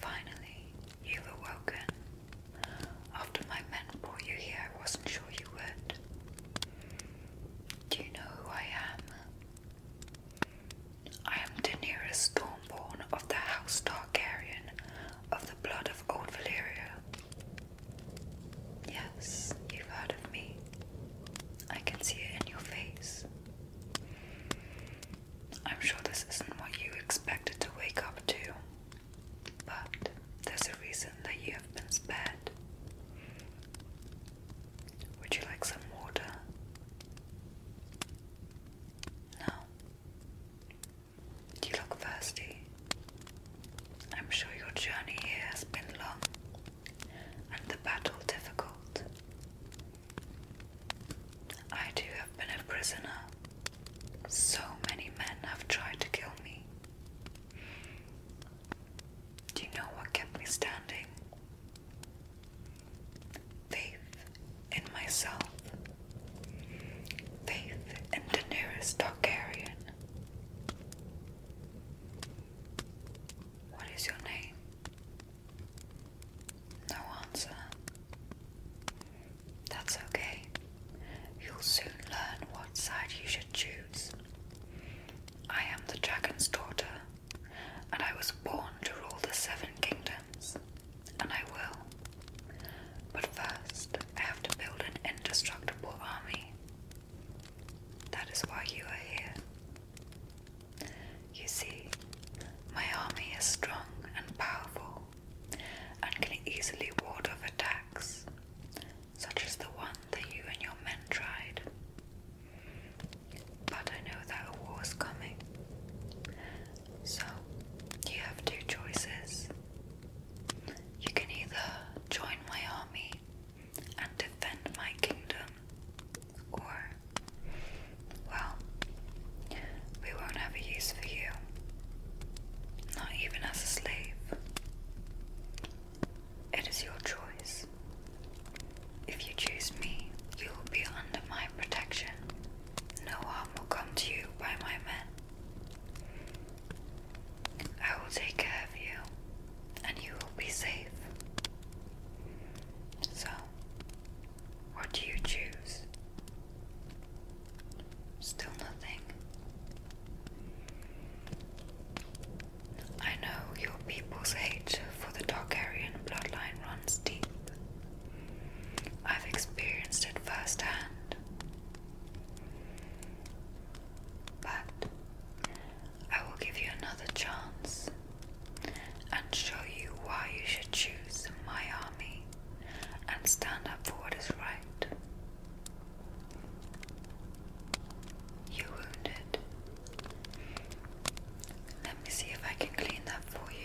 Finally, you've awoken. After my men brought you here, I wasn't sure you would. Do you know who I am? I am Daenerys Stormborn of the House Targaryen, of the blood of Old Valyria. Yes, you've heard of me. I can see it in your face. I'm sure this isn't what you expected to wake up to, but there's a reason that you have been spared. Would you like some water? No. You look thirsty. I'm sure your journey here has been long and the battle difficult. I too have been a prisoner. So many men have tried to kill me. Do you know what kept me standing? Faith in myself. Faith and Daenerys Targaryen. What is your name? No answer. That's okay. You'll soon learn what side you should choose. I am the dragon's daughter, and I was born to rule the seven kingdoms, and I will. But first, I have to build an indestructible army. That is why you are here. You see, my army is strong and powerful and can easily ward off attacks, such as the one that you and your men tried. But I know that a war is coming, so you have two choices. You can either join my army and defend my kingdom, or, well, we won't have a use for you. Not even as a slave. It is your choice. If you choose me, you will be under my protection. No harm will come to you by my men. I will take care of you and you will be safe. So, what do you choose? Still nothing. I know your people's hate for the Targaryen bloodline runs deep, I've experienced it firsthand. But I will give you another chance and show you why you should choose my army and stand up for what is right. You wounded. Let me see if I can clean that for you.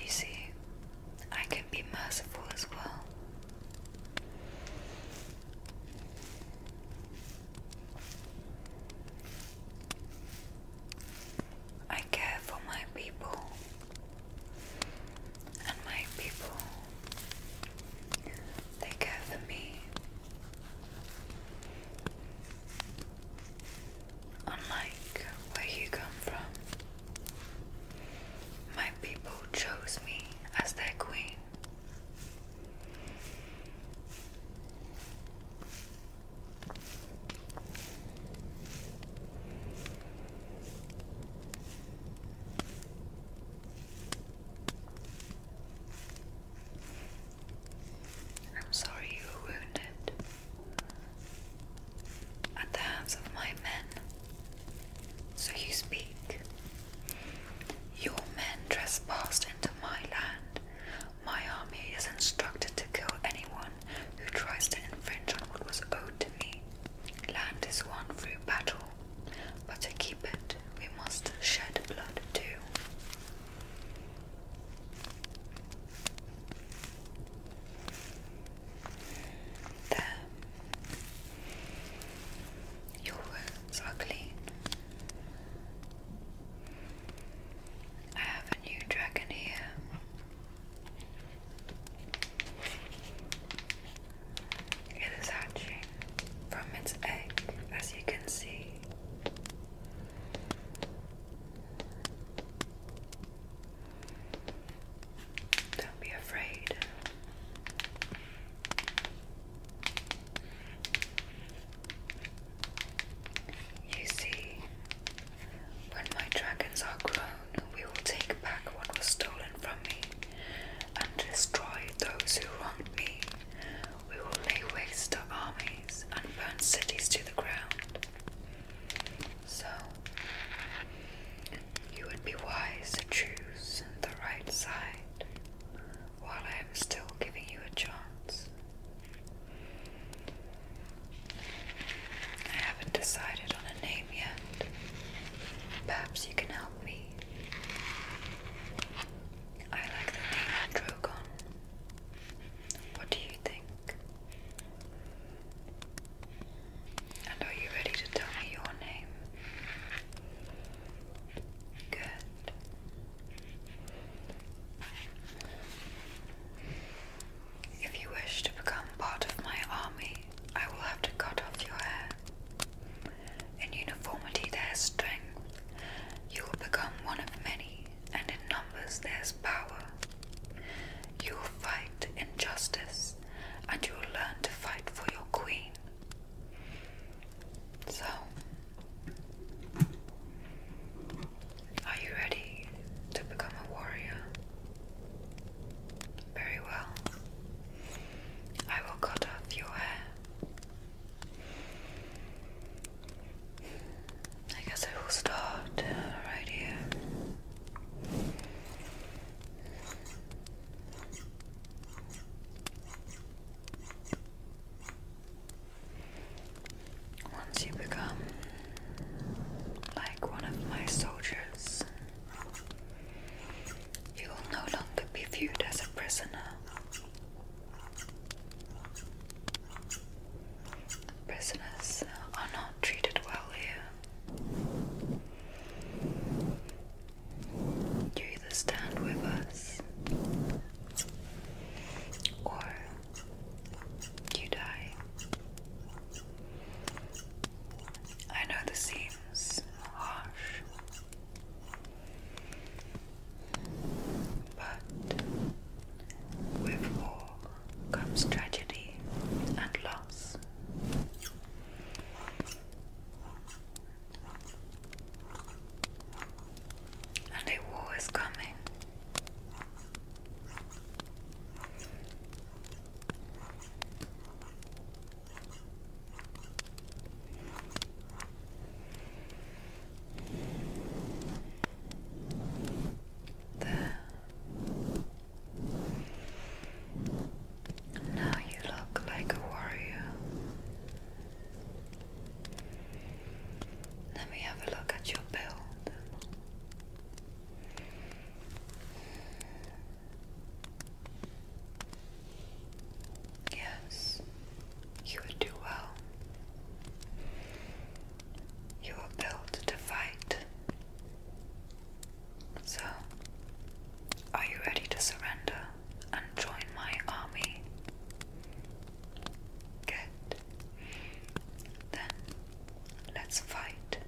You see, I can be merciful as well. I care for my people, and my people, they care for me. Unlike where you come from, my people chose me as their queen. I'm sorry you were wounded at the hands of my men. So you speak. Your men trespassed into my land. My army is instructed to kill anyone who tries to infringe on what was owed to me. Land is won through battle, but to keep it, we must shed blood too. There. Your wounds are clean. I have a new dragon here. It is hatching from its egg, as you can see. Don't be afraid. You see, when my dragons are grown, we will take back what was stolen from me and destroy those who wronged me. We will lay waste to armies and burn cities to the ground. So, you would be wise to choose the right side while I am still giving you a chance. I haven't decided on a name yet. Perhaps you can help me. I like the name Drogon. What do you think? And are you ready to tell me your name? Good. If you wish to become part of my army, I will have to cut off your hair. In uniformity there is strength. You will become one of many, and in numbers there is power. You will fight injustice, and you will learn to fight for your queen. So, are you ready to become a warrior? Very well. I will cut off your hair. I guess I will start uh, right here. Once you become like one of my soldiers, you will no longer be viewed as a prisoner. Prisoners are not treated well here. You either stand with us or you die. I know this seems harsh, but with war comes tragedy and loss. And a war is coming. Now you look like a warrior. Let me have a look at your build. Yes, you will do well. You are built to fight. So, are you ready to surrender and join my army? Good. Then, let's fight.